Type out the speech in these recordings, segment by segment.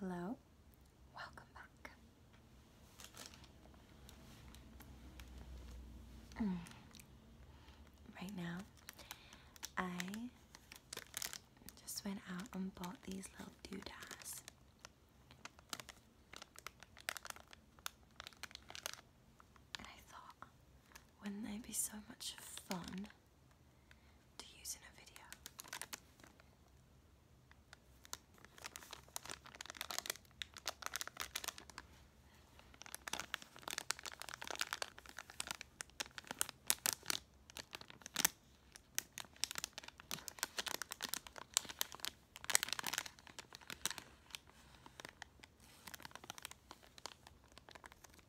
Hello, welcome back. Mm. Right now, I just went out and bought these little doodads. And I thought, wouldn't they be so much fun to use in a video.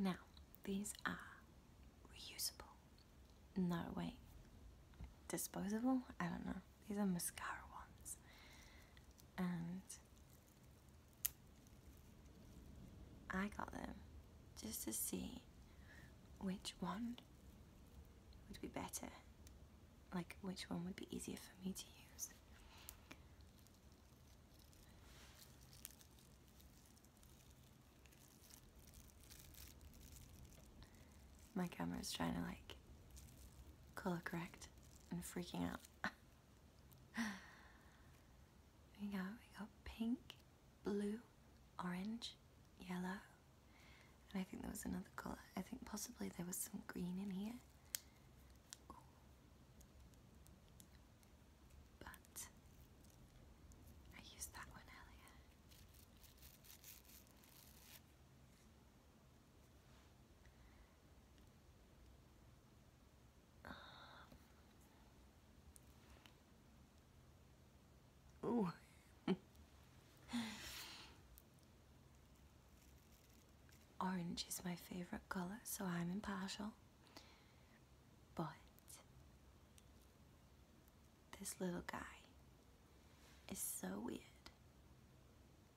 Now, these are reusable. No, way. Disposable? I don't know. These are mascara ones. And I got them just to see which one would be better, like which one would be easier for me to use. My camera is trying to like color correct and freaking out. we got we got pink blue, orange, yellow, and I think there was another colour. I think possibly there was some green in here. But I used that one earlier. Ooh. Orange is my favorite color, so I'm impartial. But this little guy is so weird.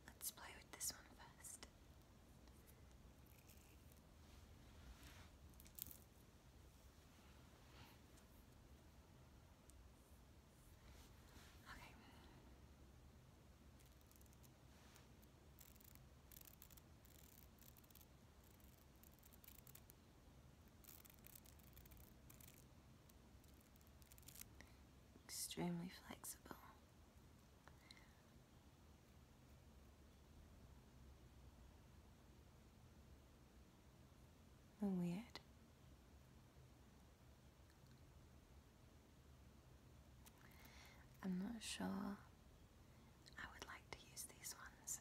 Let's play with this one first. Extremely flexible. Weird. I'm not sure I would like to use these ones.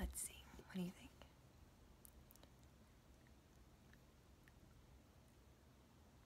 Let's see, what do you think?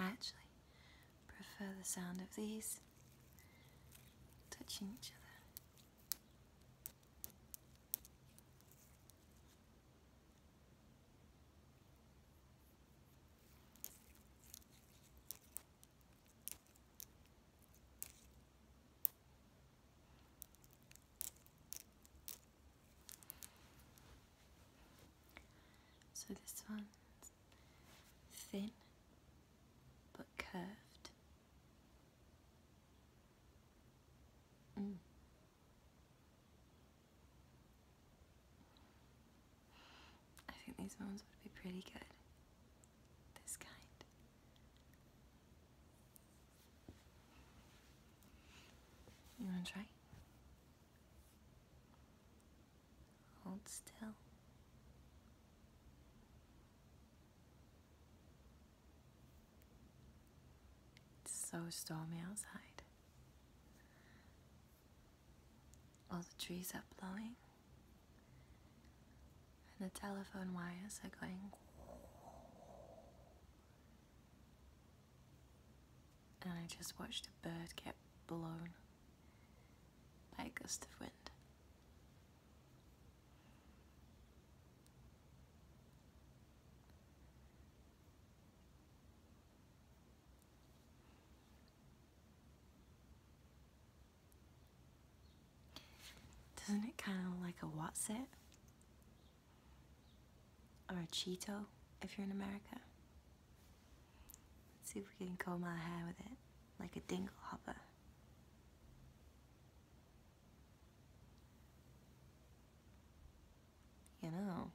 I actually prefer the sound of these touching each other. So this one's thin but curved. Mm. I think these ones would be pretty good. This kind. You want to try? Hold still. It's so stormy outside. All the trees are blowing, and the telephone wires are going and I just watched a bird get blown by a gust of wind. Doesn't it kind of like a what's it? or a Cheeto if you're in America. Let's see if we can comb our hair with it like a dingle hopper. You know.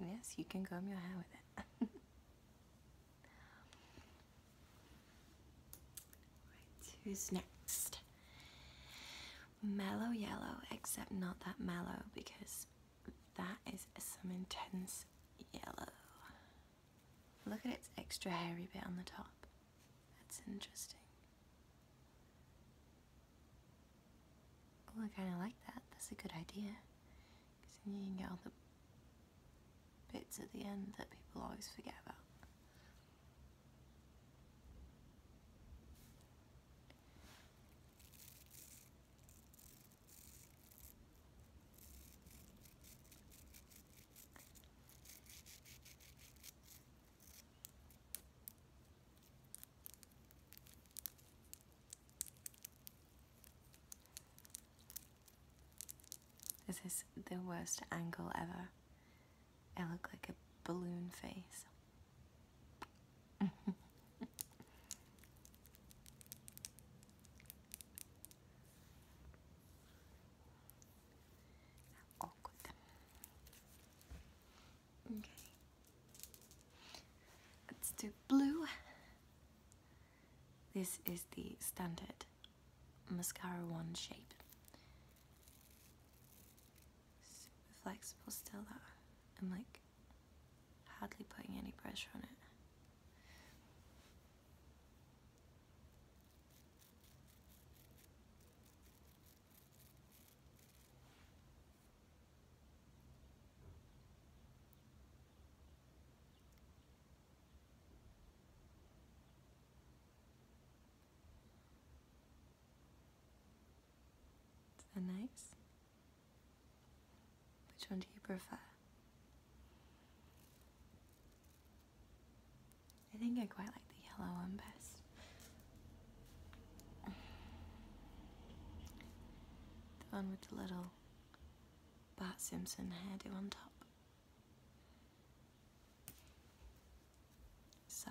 Yes, you can comb your hair with it. who's next? Mellow yellow, except not that mellow because that is some intense yellow. Look at its extra hairy bit on the top. That's interesting. Oh, I kind of like that. That's a good idea because you can get all the bits at the end that people always forget about. This is the worst angle ever. I look like a balloon face. Okay. Let's do blue. This is the standard mascara one shape. Super flexible still that I'm like hardly putting any pressure on it. Is nice? Which one do you prefer? I think I quite like the yellow one best. The one with the little Bart Simpson hairdo on top. So.